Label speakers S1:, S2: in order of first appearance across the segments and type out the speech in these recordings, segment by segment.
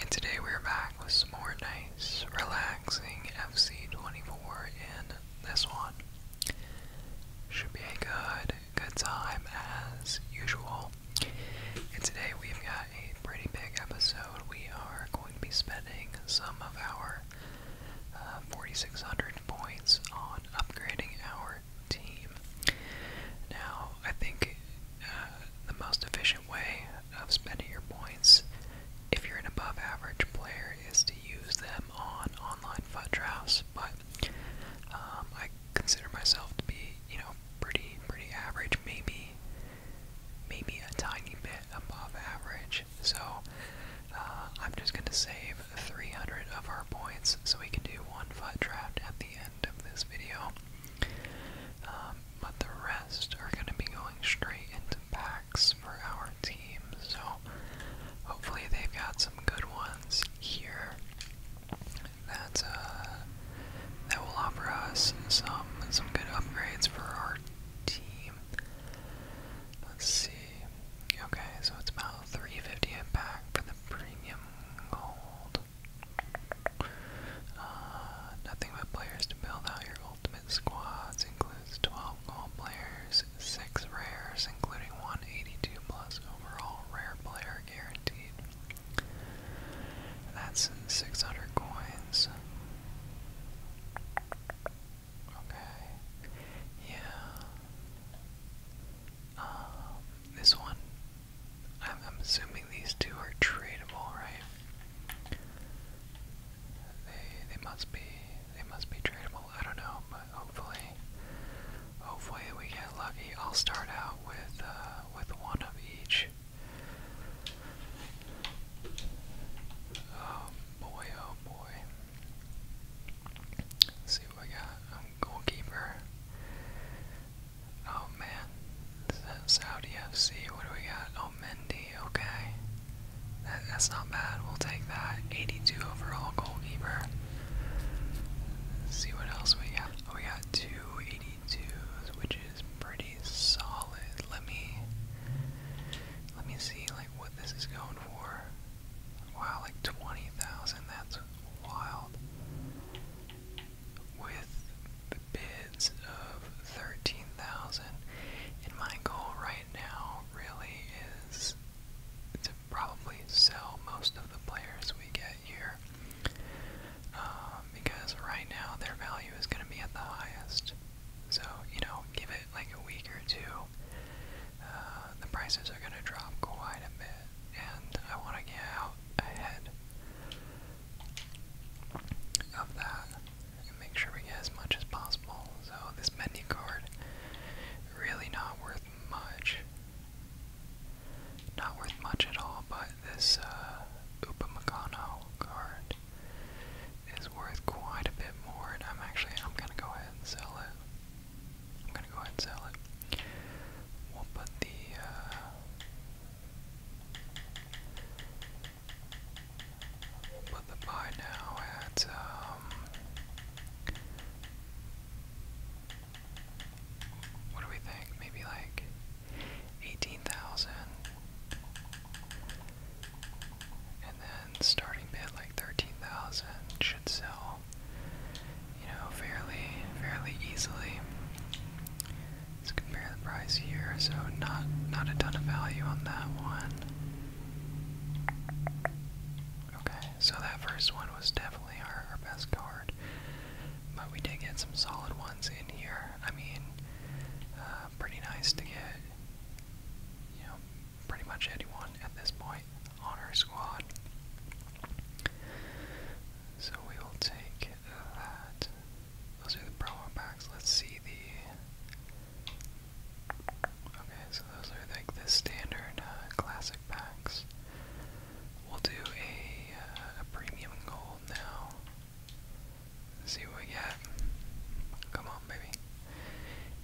S1: And today we're back with some more nice, relaxing FC24 in this one. Should be a good, good time as usual. And today we've got a pretty big episode. We are going to be spending some of our uh, 4,600 points on upgrading our team. Now, I think uh, the most efficient way of spending your points if you're an above average player is to use them on online FUT drafts, but um, I consider myself to be, you know, pretty pretty average, maybe maybe a tiny bit above average. So uh, I'm just gonna save 300 of our points so we can do one FUT draft at the end of this video. Um, but the rest are going to be going straight into packs for our team. So hopefully they've got some good ones here that uh, that will offer us some some good upgrades for our team. Let's see. Okay, so it's about 350 a pack for the premium gold. Uh, nothing but players to build out your ultimate squads includes 12 gold players, 6 rares, including 182 plus overall rare player guaranteed. That's 600 coins. Okay. Yeah. Um, this one, I'm, assuming these two are tradable, right? They they must be they must be tradable. I don't know, but hopefully, hopefully we get lucky. I'll start out with uh, with one of each. Oh boy, oh boy. see what I got. goalkeeper. Oh man, this is Saudi FC. What do we got? Oh, Mendy. Okay, that's not bad. We'll take that. 82 overall goalkeeper. Let's see what else we got. Oh, we got two 82s, which is pretty solid. Let me let me see like what this is going for. Wow, like 20,000. That's wild with bids of 13,000 and my goal right now really is to probably sell most of the players we get here uh, because right now their value is going to be at the highest so you know give it like a week or two uh, the prices are going to drop quite a bit and I want to get out ahead of that and make sure we get as much as possible. So this menu really not worth much. Not worth much at all, but this uh Upamecano card is worth quite a bit more and I'm actually I'm gonna go ahead and sell it. I'm gonna go ahead and sell it. We'll put the uh, Put the buy now at um what do we think? Maybe like eighteen thousand and then starting bid like thirteen thousand should sell you know fairly fairly easily. Let's compare the price here. So not not a ton of value on that one. Okay, so that first one was definitely our, best card, but we did get some solid ones in here. I mean, uh, pretty nice to get, you know, pretty much anyone at this point on our squad. So we will take that. Those are the promo packs. Let's see the. Okay, so those are like the standard uh, classic packs. We'll do a, uh, a premium gold now. Let's see what we get. Come on, baby.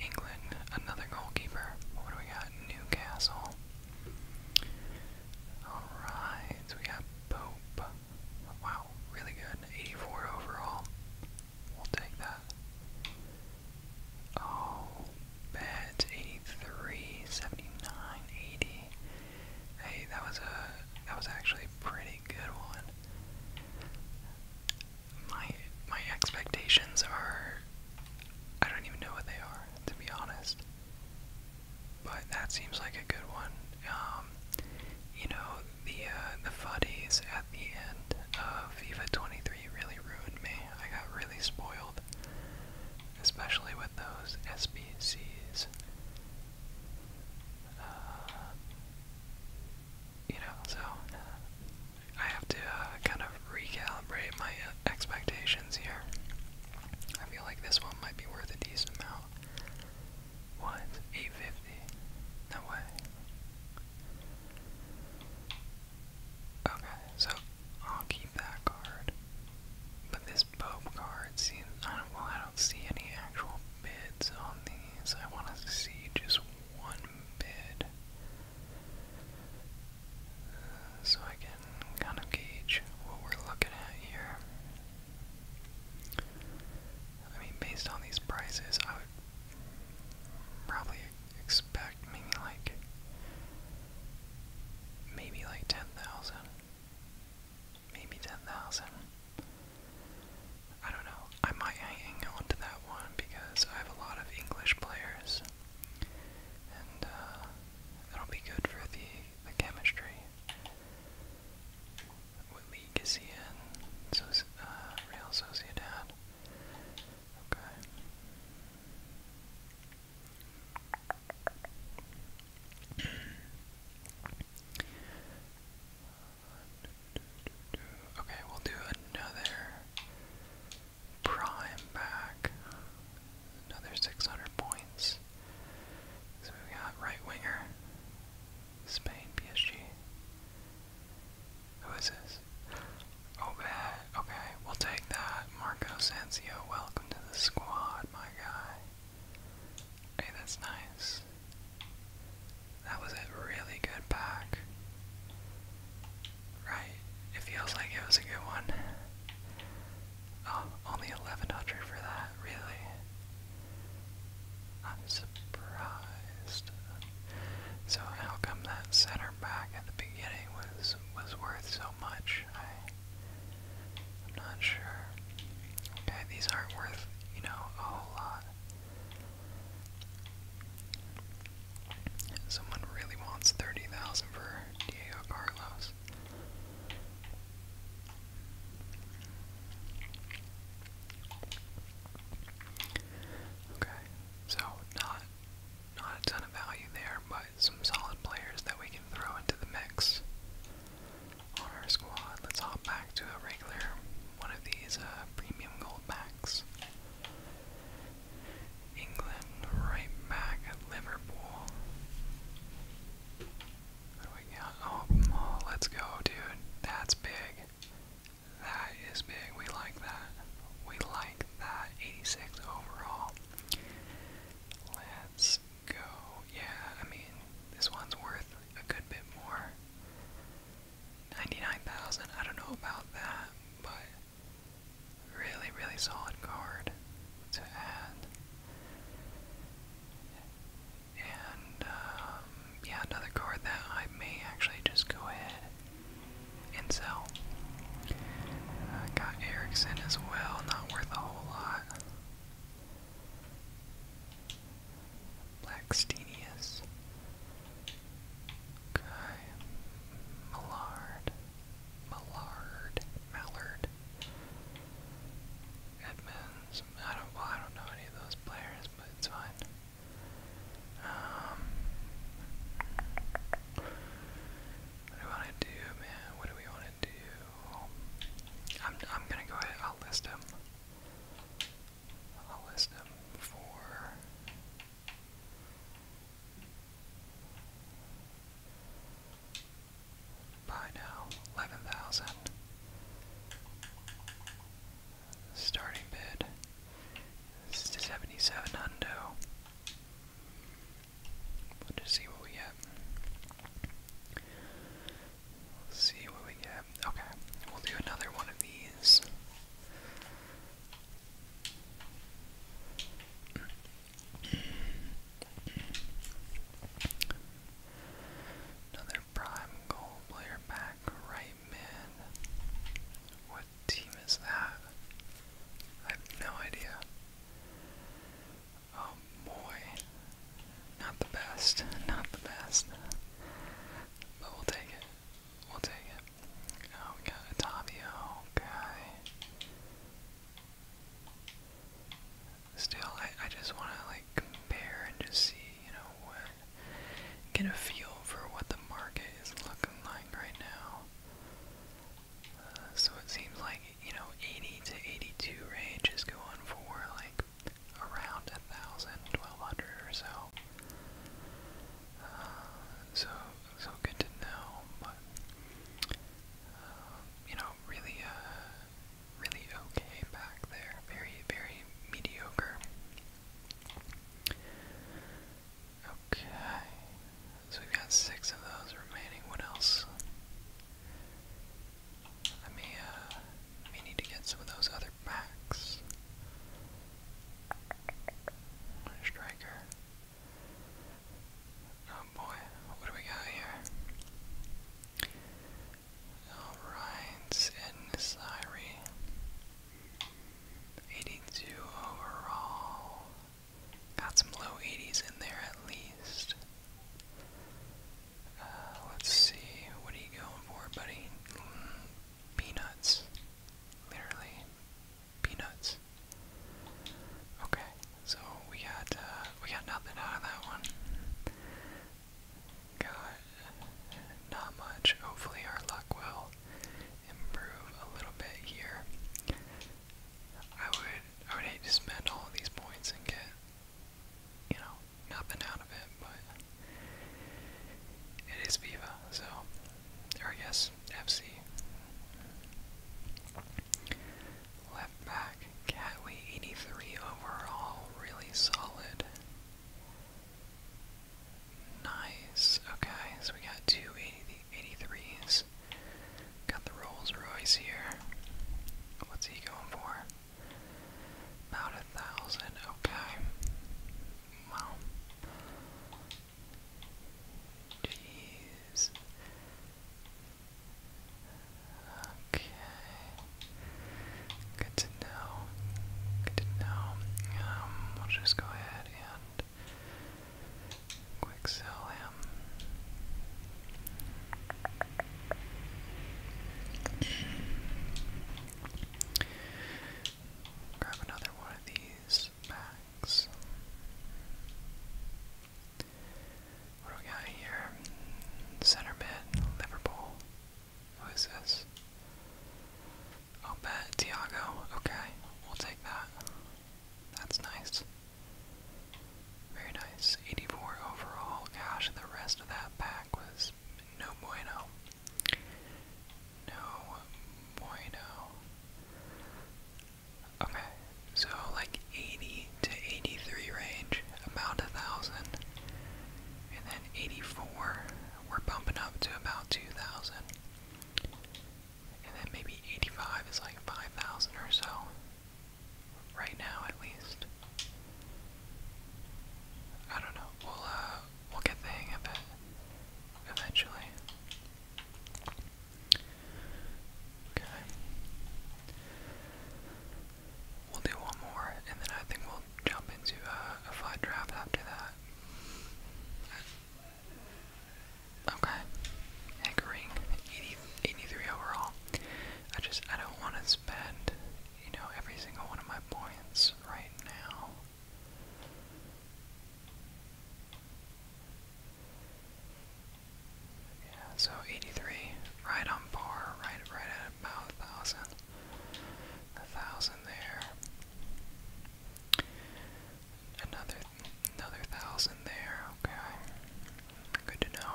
S1: England, another goalkeeper. What do we got? Newcastle. Alright, we got Pope. Wow, really good. 84 overall. We'll take that. Oh, bad. 83, Hey, that was a that was actually pretty good one. My my expectations are I don't even know what they are, to be honest. But that seems like a good one. Um, you know, the uh, the fuddies at the end of FIFA 23 really ruined me. I got really spoiled, especially with those SBCs. Uh, you know, so I have to uh, kind of recalibrate my expectations here. I feel like this one might be worth a decent amount now was 850 away. Okay, so I'll keep that card. But this Pope card seems I don't well I don't see any actual bids on these. I wanna see just one bid. Uh, so I can kind of gauge what we're looking at here. I mean, based on these prices, I would probably expect maybe like maybe like ten thousand, maybe ten thousand. I don't know. I might hang on to that one because I have a lot of English players, and uh, that'll be good for the the chemistry. What league is he in? So, uh, Real Sociedad. Okay. Okay, we'll do another prime back another 600 points. So we got right winger, Spain, PSG. Who is this? Okay, oh, okay, we'll take that. Marco Sanzio, welcome to the squad, my guy. Hey, that's nice. That was a really good pack. Right, it feels like it was a good one. Oh, only 1100 for that, really? I'm surprised. So how come that center back at the beginning was was worth so much? I am not sure. Okay, these aren't worth, you know, a whole lot. Someone really wants 30,000 for Diego Carlos. Okay, so not not a ton of value there, but some solid players that we can throw into the mix on our squad. Let's hop back to a regular one of these uh, premium gold packs. England right back at Liverpool. Oh, let's go, dude. That's big. That is big. We like that. We like that. 86 overall. Let's go. Yeah, I mean, this one's worth a good bit more. 99,000. I don't know about that, but really, really solid card to add. And, um, yeah, another card that I may actually just go ahead and sell. got Erickson as well, not worth a whole lot. Blackstenius. Okay. Millard. Millard. Mallard. Edmonds. I don't. I don't know any of those players, but it's fine. Um, what do I want to do, man? What do we want to do? I'm. I'm gonna go ahead. I'll list them. I'll list them for by now, 11,000. Starting bid is 77 hundo. we see what we get. see what we get. Okay, we'll do another one of these. Another prime goal player back right mid. What team is that? I have no idea. Oh boy. Not the best. Not the best. But we'll take it. We'll take it. Oh, we got a Tavio Still, I, I just want to like compare and just see, you know, what, get a feel for what the market is looking like right now. Uh, so it seems like, you know, 80 to 82 range is going for like around 1,000, 1,200 or so. Uh, so, so good to know, but, uh, you know, really, uh, really okay back there. Very, very mediocre. Okay. So we've got six of those remaining. What else? I may, uh, may need to get some of those other packs. Striker. Oh boy, what do we got here? Alright, 82 overall. Got some low 80s in there at least. Uh, let's see, what are you going for, buddy? peanuts. Literally, peanuts. Okay. So we got uh, we got nothing out of that one. Got not much. Hopefully our luck will improve a little bit here. I would I would hate to spend all these points and get you know nothing out of it, but it is Viva, so or I FC. Left back, Catway 83 overall, really solid. Nice. Okay, so we got two Got the Rolls Royce here. What's he going for? About a thousand. Okay. Wow. Jeez. Okay. Good to know. Good to know. Um, we'll just go ahead and quick sell him. Grab another one of these packs. What do we got here? Center mid, Liverpool. Who is this? Oh, bet Tiago. Okay, we'll take that. That's nice. Very nice. 84 overall. Gosh, the rest of that pack was no bueno. No bueno. Okay, so like 80 to 83 range, about a thousand. And then 84, we're bumping up to about 2,000. And then maybe 85 is like 5,000 or so. Right now, at least. I don't know. We'll, uh, we'll get the hang of it eventually. Okay. We'll do one more, and then I think we'll jump into a, a draft after that. Okay. Hankering, 80, overall. I just, I don't want to spend, you know, every single one of my points right now. Yeah, so 83, right on par, right, right at about a thousand, a thousand there. Another, another thousand there. Okay, good to know.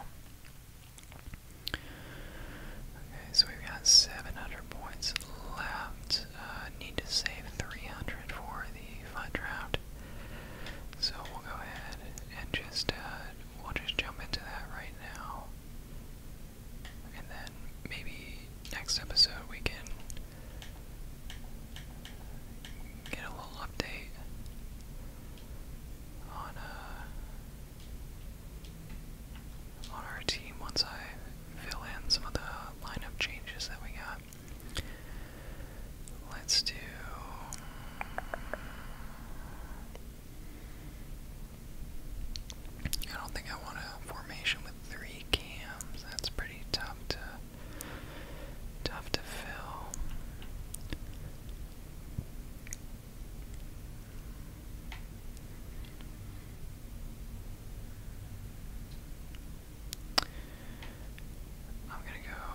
S1: Okay, so we've got 700 points left. Uh, need to save 300 for the fun draft. So we'll go ahead and just uh, we'll just jump into that right now. And then maybe next episode we can get a little update on uh, on our team once I fill in some of the lineup changes that we got. Let's do I don't think I want a formation with three cams. That's pretty tough to tough to fill. I'm gonna go.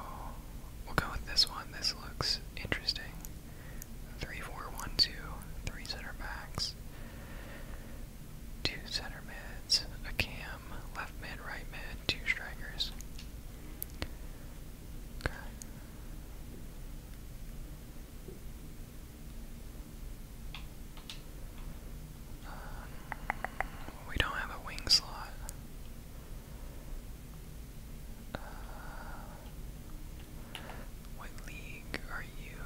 S1: We'll go with this one. This looks interesting. 3 3 center backs, two center mids, a cam, left mid, right mid, two strikers. Um, we don't have a wing slot. Uh, what league are you?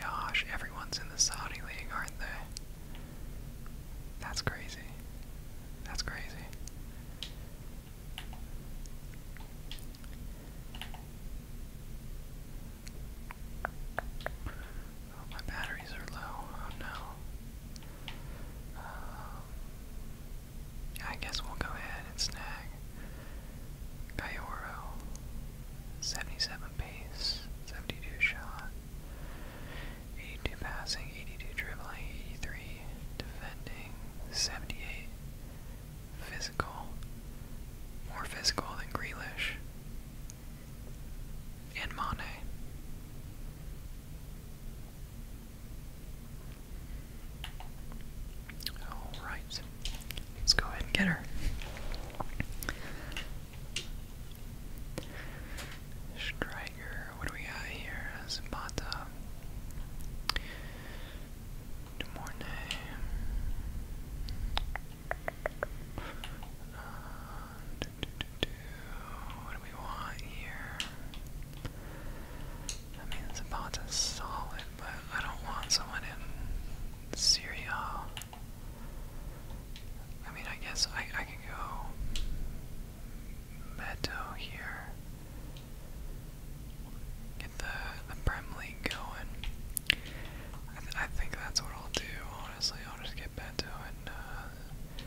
S1: Gosh, everyone's in the Saudi league, aren't they? That's crazy. That's crazy. Oh, my batteries are low. Oh no. Um, I guess we'll go ahead and snag Gaioro. 77 pace, 72 shot, 82 passing, 82 dribbling, 83 defending, 78 physical. More physical than Grealish. And Mane. Alright, let's go ahead and get her. Striker, what do we got here? Zapata. Demorne. Uh, What do we want here? I mean, Zapata's solid, but I don't want someone in Syria. I mean, I guess I, I could go Beto here. Get the, the Prem League going. I, th I think that's what I'll do, honestly. I'll just get Beto and uh,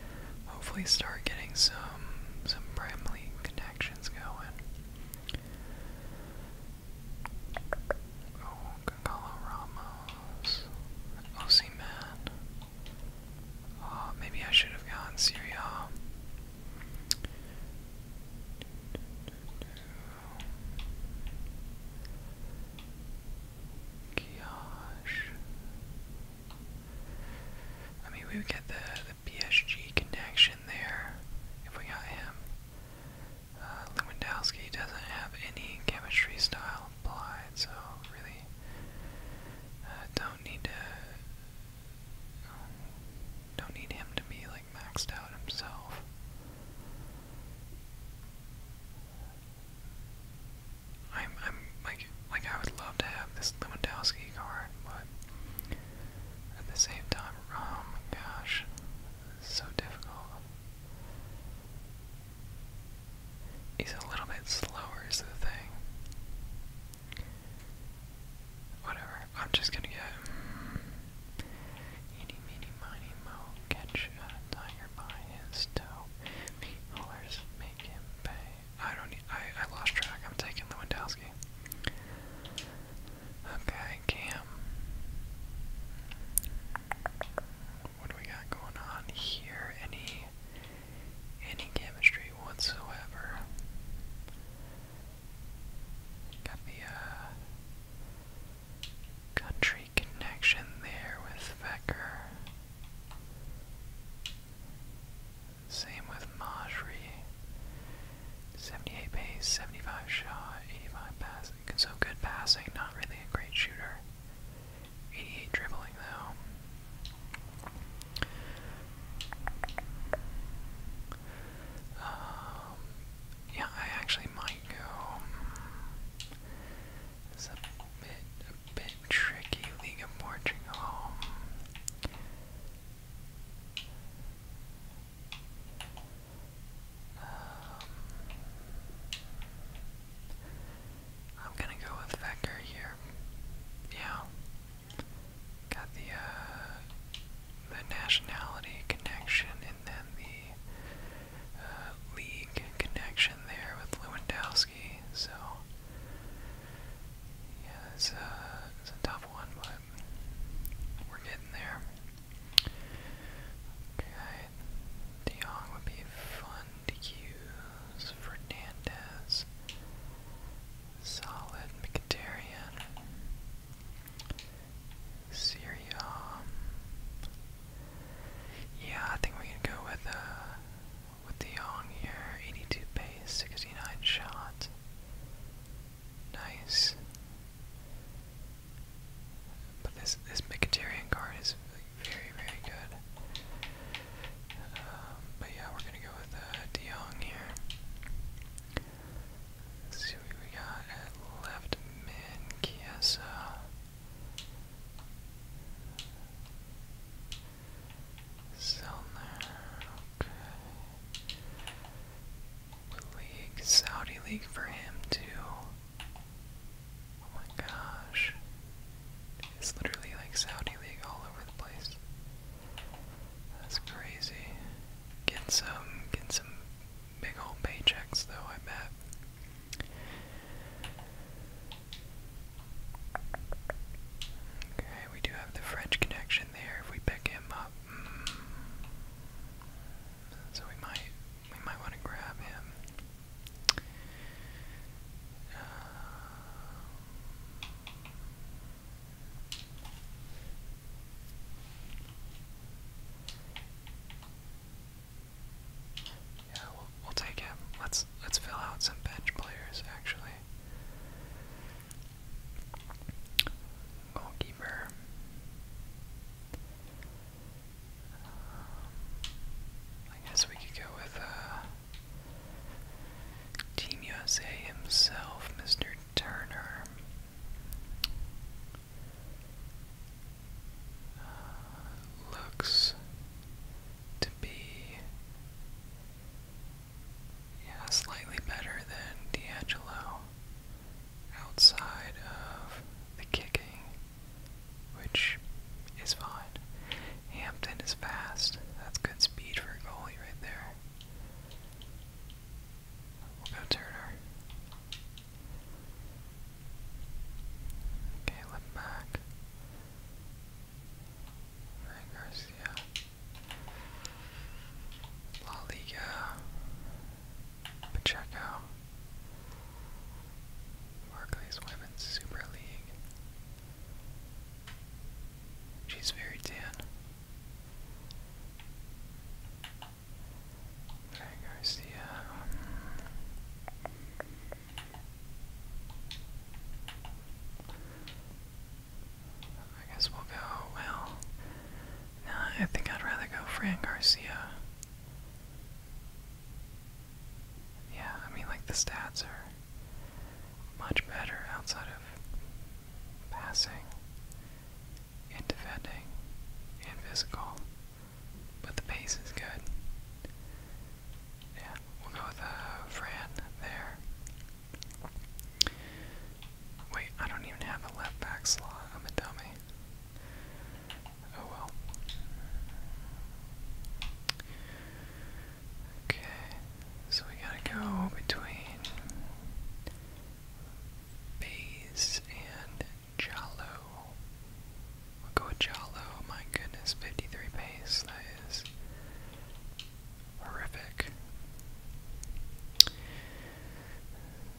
S1: hopefully start getting some some Prem League action's going. Oh, Gonzalo Ramos. OC oh, man. Oh, maybe I should have gone Syria. Gosh. I mean, we would get the the connection there if we got him. Uh, Lewandowski doesn't have any chemistry style applied, so really uh, don't need to don't need him to be like maxed out himself. I'm I'm like like I would love to have this Lewandowski card, but at the same time. Oh my gosh, so difficult. He's a little bit slower, is the thing. Whatever, I'm just gonna get. Eeny, meeny, miny, moe, catch a tiger by his toe. Meat haulers make him pay. I don't. I lost track. I'm taking Lewandowski. Okay, Cam. What do we got going on here? Any any chemistry whatsoever? Got the uh, country connection there with Vecker. Same with Majri. 78 pace, 75 shot, 85 passing. So good passing, not really a great shooter. 88 dribbling though. Um, yeah, I actually might go. It's a bit, a bit tricky. League of Portugal. Um, I'm gonna go with Vector here. Yeah. Got the uh, the nationality connection and then the uh, league connection there with Lewandowski. So yeah, it's, uh, it's a tough one, but we're getting there. Okay, De would be fun to use. Fernandez, solid Mkhitaryan, Syria. Yeah, I think we can go with uh, with De here. 82 pace, 69 shot. Nice. But this this Mkhitaryan card is very very good. Um, but yeah, we're gonna go with uh, here. see what we got left mid. Kiesa. Zellner, okay. league? Saudi league for him too. Oh my gosh. It's literally like Saudi league all over the place. That's crazy. Get some get some big old paychecks though, I bet. Okay, we do have the French connection there if we pick him up. Mm. So we might we might want to grab him. Uh, yeah, we'll, we'll take him. Let's let's fill out some bench players actually. Goalkeeper. Um, I guess we could go with uh, Team USA himself, Mr. Turner. Uh, looks to be yeah, slightly better than D'Angelo outside of the kicking, which is fine. Hampton is fast. That's good speed for a goalie right there. We'll go Turner. Okay, left back. Garcia. La Liga, Pacheco, Barclays Women's Super League. She's very tan. Okay, Garcia. Um, I guess we'll go, well, I think I'd rather go Fran Garcia. Yeah, I mean, like, the stats are much better outside of passing and defending and physical, but the pace is good. Yeah, we'll go with uh, Fran there. Wait, I don't even have a left back slot. I'm a dummy. Oh well. Okay, so we gotta go between Bays and Jalo. We'll go with Jalo. My goodness, 53 pace. That is horrific.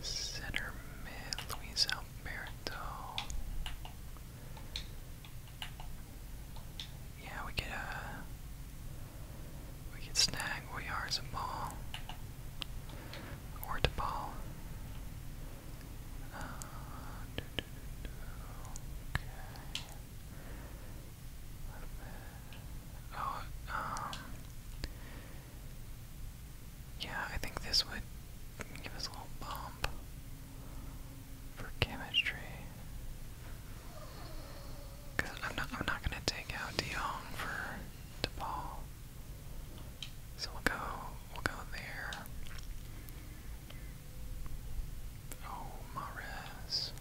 S1: Center mid, Luis Alberto. Yeah, we get a uh, we could snag Oyar's ball or ball. Uh, Oh, um, yeah, I think this would give us a little bump for chemistry. Cause I'm not, I'm not gonna take out De for DePaul, so we'll go, we'll go there. Oh, Mares.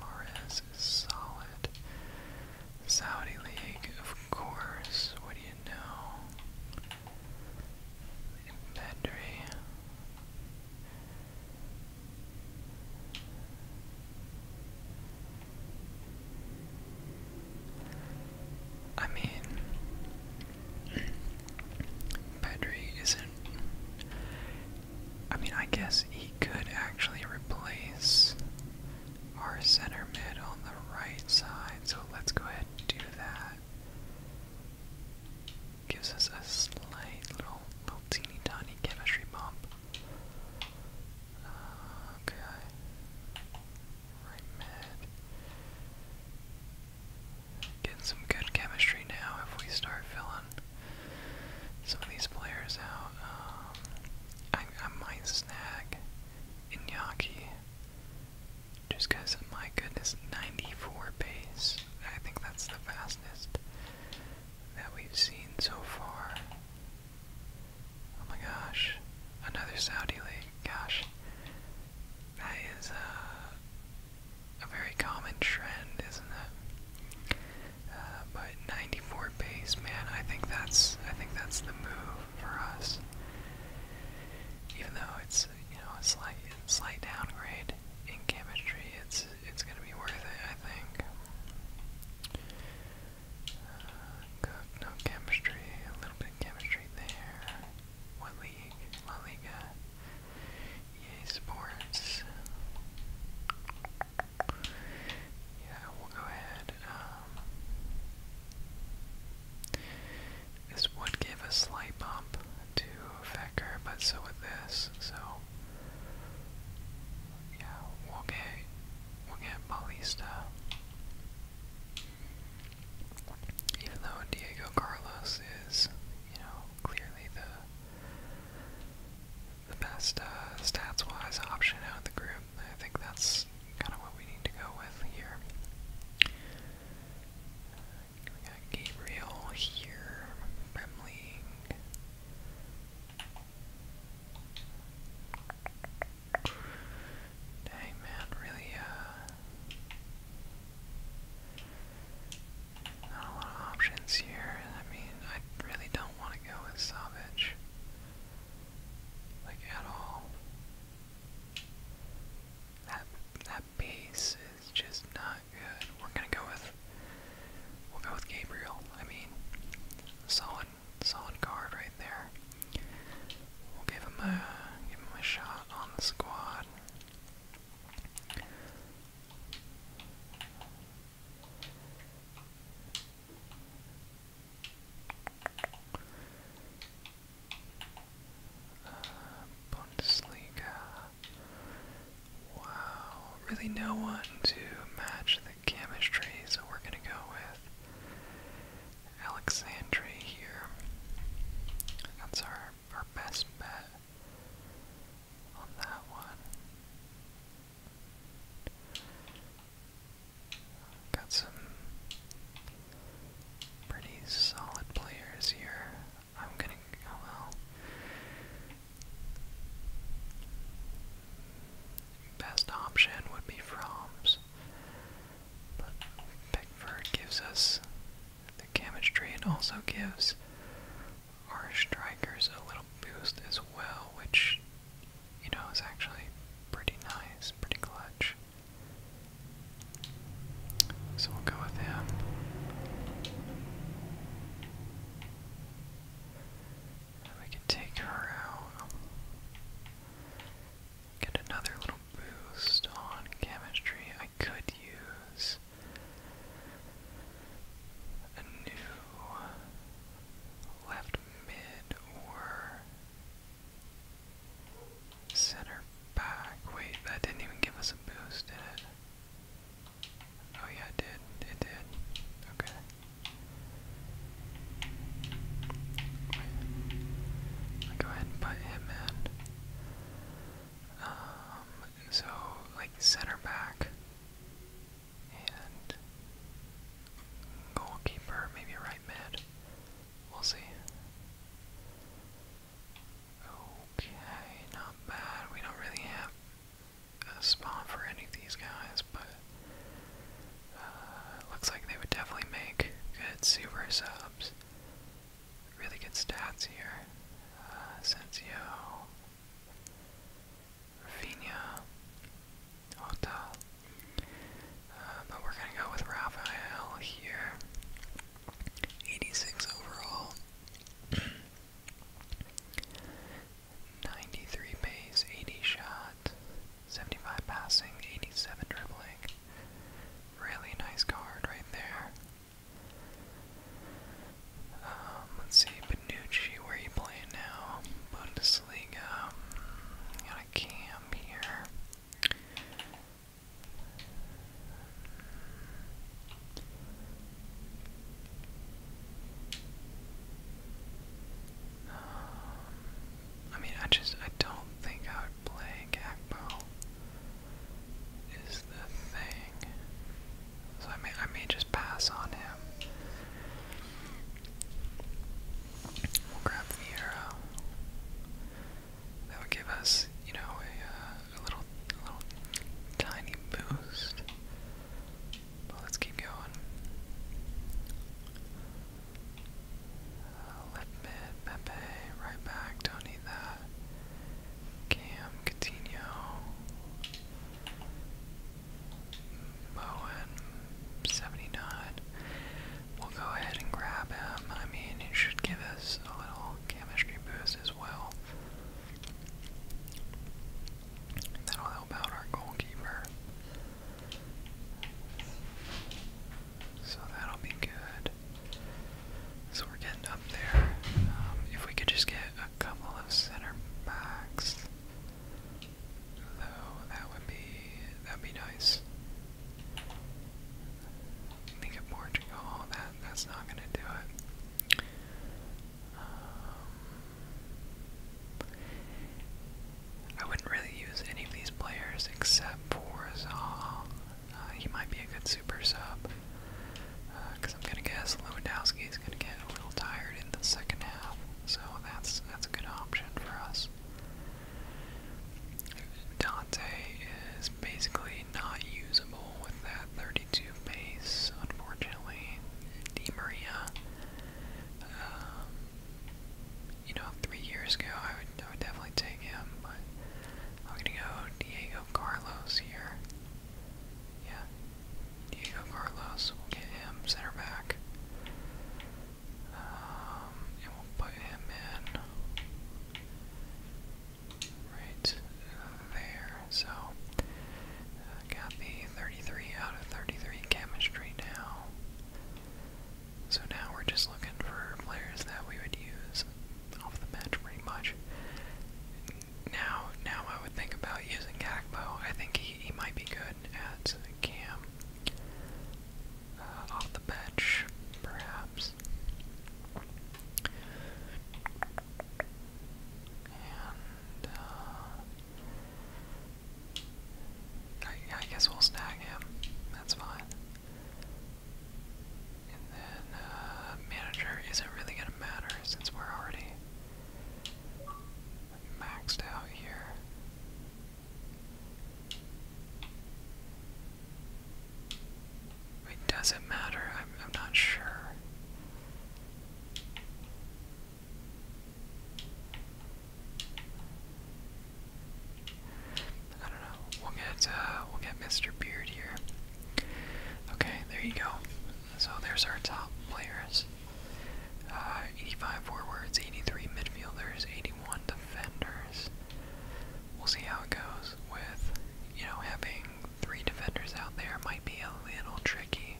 S1: Mares is solid. Saudi League, of course. What do you know? Bedry. I mean, Pedri isn't I mean, I guess he could actually replace our center mid on the right side, so let's go ahead and do that. Gives us a slight little, little teeny tiny chemistry bump. Uh, okay. Right mid getting some good chemistry now if we start filling some of these players out. Um, I, might snag Inyaki just because, my goodness, 94 pace. I think that's the fastest that we've seen so far. Oh my gosh, another Saudi league. Gosh, that is uh, a very common trend, isn't it? Uh, but 94 base, man, I think that's I think that's the move for us. Even though it's you know a slight slight downgrade in chemistry, it's it's gonna be worth it, I think. Uh, cook, no chemistry, a little bit chemistry there. What league? La Liga. Yeah, Sports. Yeah, we'll go ahead. Um, this would give a slight bump to Fecker, but so would this. So, yeah, we'll get we'll get Paulista. Even though Diego Carlos is, you know, clearly the the best uh, stats-wise option out of the group. I think that's kind of what we need to go with here. We got Gabriel here, Dang man, really uh, not a lot of options here. I mean, I really don't want to go with Savage. Like, at all. That, that base is just not good. We're gonna go with, we'll go with Gabriel. I mean, solid, solid card right there. We'll give him a, give him a shot on the squad. Bundesliga. Wow, really no one to match the chemistry, so we're gonna go with Alexandri here. That's our our best bet on that one. Got some pretty solid players here. I'm gonna oh well. Best option would be Froms, but Pickford gives us the chemistry and also gives our strikers a little boost as well, which, you know, is actually pretty nice, pretty clutch. So we'll go with him. we can take her out. Get another little boost on chemistry. I could use a new left mid or center back. Wait, that didn't even give us a boost, did it? Oh yeah, I did. It did. Okay. go ahead and put him in. Um, so like center back and goalkeeper, maybe right mid. We'll see. Okay, not bad. We don't really have a spot for any of these guys, but uh, looks like they would definitely make good super subs. Really good stats here. Uh, Rafinha, Hotel. Uh, but we're going to go with Raphael here. 86 overall. 93 pace, 80 shot, 75 passing, 87 dribbling. Really nice card right there. Um, let's see, Benucci, where you playing now? Bundesliga. Um, got a cam here. Um, I mean, I just, I don't think I would play Gakpo is the thing. So I may I may just pass on him. We'll grab the arrow. That would give us, you know, a, uh, little, a little tiny boost. But let's keep going. Uh, left mid, Pepe, right back. Don't need that. Cam, Coutinho. Moen, 79. We'll go ahead and grab him. I mean, it should give us a little chemistry boost as well. That'll help out our goalkeeper. So that'll be good. So we're getting up there. Um, if we could just get uh, a couple of center backs. Though that would be that'd be nice. Think Portugal. Oh, that that's not gonna do it. Um, I wouldn't really use any of these players except for Zaha. Uh, he might be a good super sub because I'm gonna guess Lewandowski is gonna get a little tired in the second half, so that's that's a good option for us. Dante is basically not usable with that 32 pace, unfortunately. Di Maria, um, you know, three years ago I would, I would definitely take him, but I'm gonna go Diego Carlos here. Yeah. Diego Carlos, we'll get him center back. Um, and we'll put him in right there. So, uh, got the 33 out of 33 chemistry now. So now we're just looking for players that we would use off the bench pretty much now, now I would think about using Gakpo. I think he, he might be good at Cam. Uh, off the bench, perhaps. And, uh, I, I guess we'll snag him. That's fine. And then, uh, manager isn't really gonna matter since we're already maxed out here. It doesn't matter, I'm, I'm not sure. I don't know. We'll get uh, we'll get Mr. Beard here. Okay, there you go. So there's our top players. Uh, 85 forwards, 83 midfielders, 81 defenders. We'll see how it goes with, you know, having three defenders out there might be a little tricky.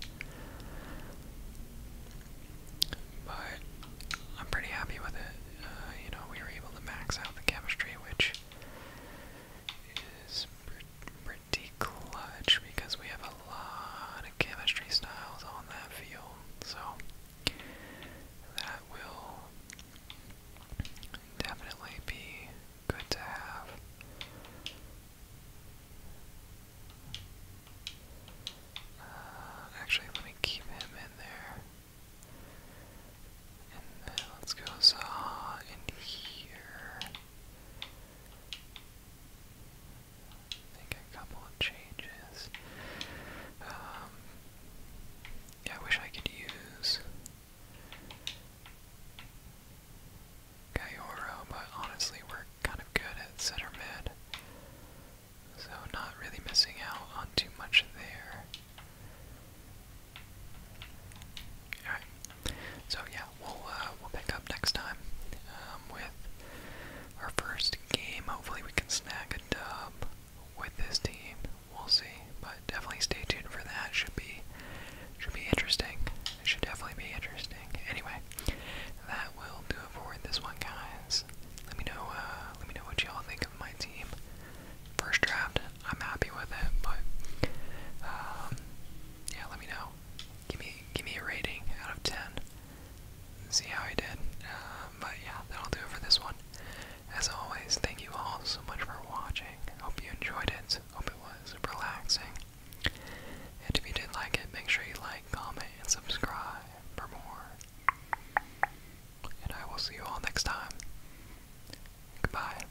S1: But I'm pretty happy with it. Uh, you know, we were able to max out the chemistry, which is pretty clutch because we have a lot of chemistry styles on that field. So that will definitely be good to have. Uh, actually, let me keep him in there. And then let's go in here. I a couple of changes. Um, yeah, I wish I could use Gaioro, but honestly, we're kind of good at center mid. So, not really missing out on too much there. Alright, so yeah, we'll uh, we'll pick up next time um, with our first game. Hopefully, we can snag a dub with this team. We'll see, but definitely stay tuned for that. Should be should be interesting. It should definitely be interesting. Anyway, that will do it for this one, guys. Let me know. Uh, let me know what y'all think of my team. First draft, I'm happy with it, but um, yeah, let me know. Give me give me a rating out of ten. see how I did. Um, but yeah, that'll do it for this one. As always, thank you all so much for watching. Hope you enjoyed it. Hope it was relaxing. And if you did like it, make sure you like, comment, and subscribe for more. And I will see you all next time. Goodbye.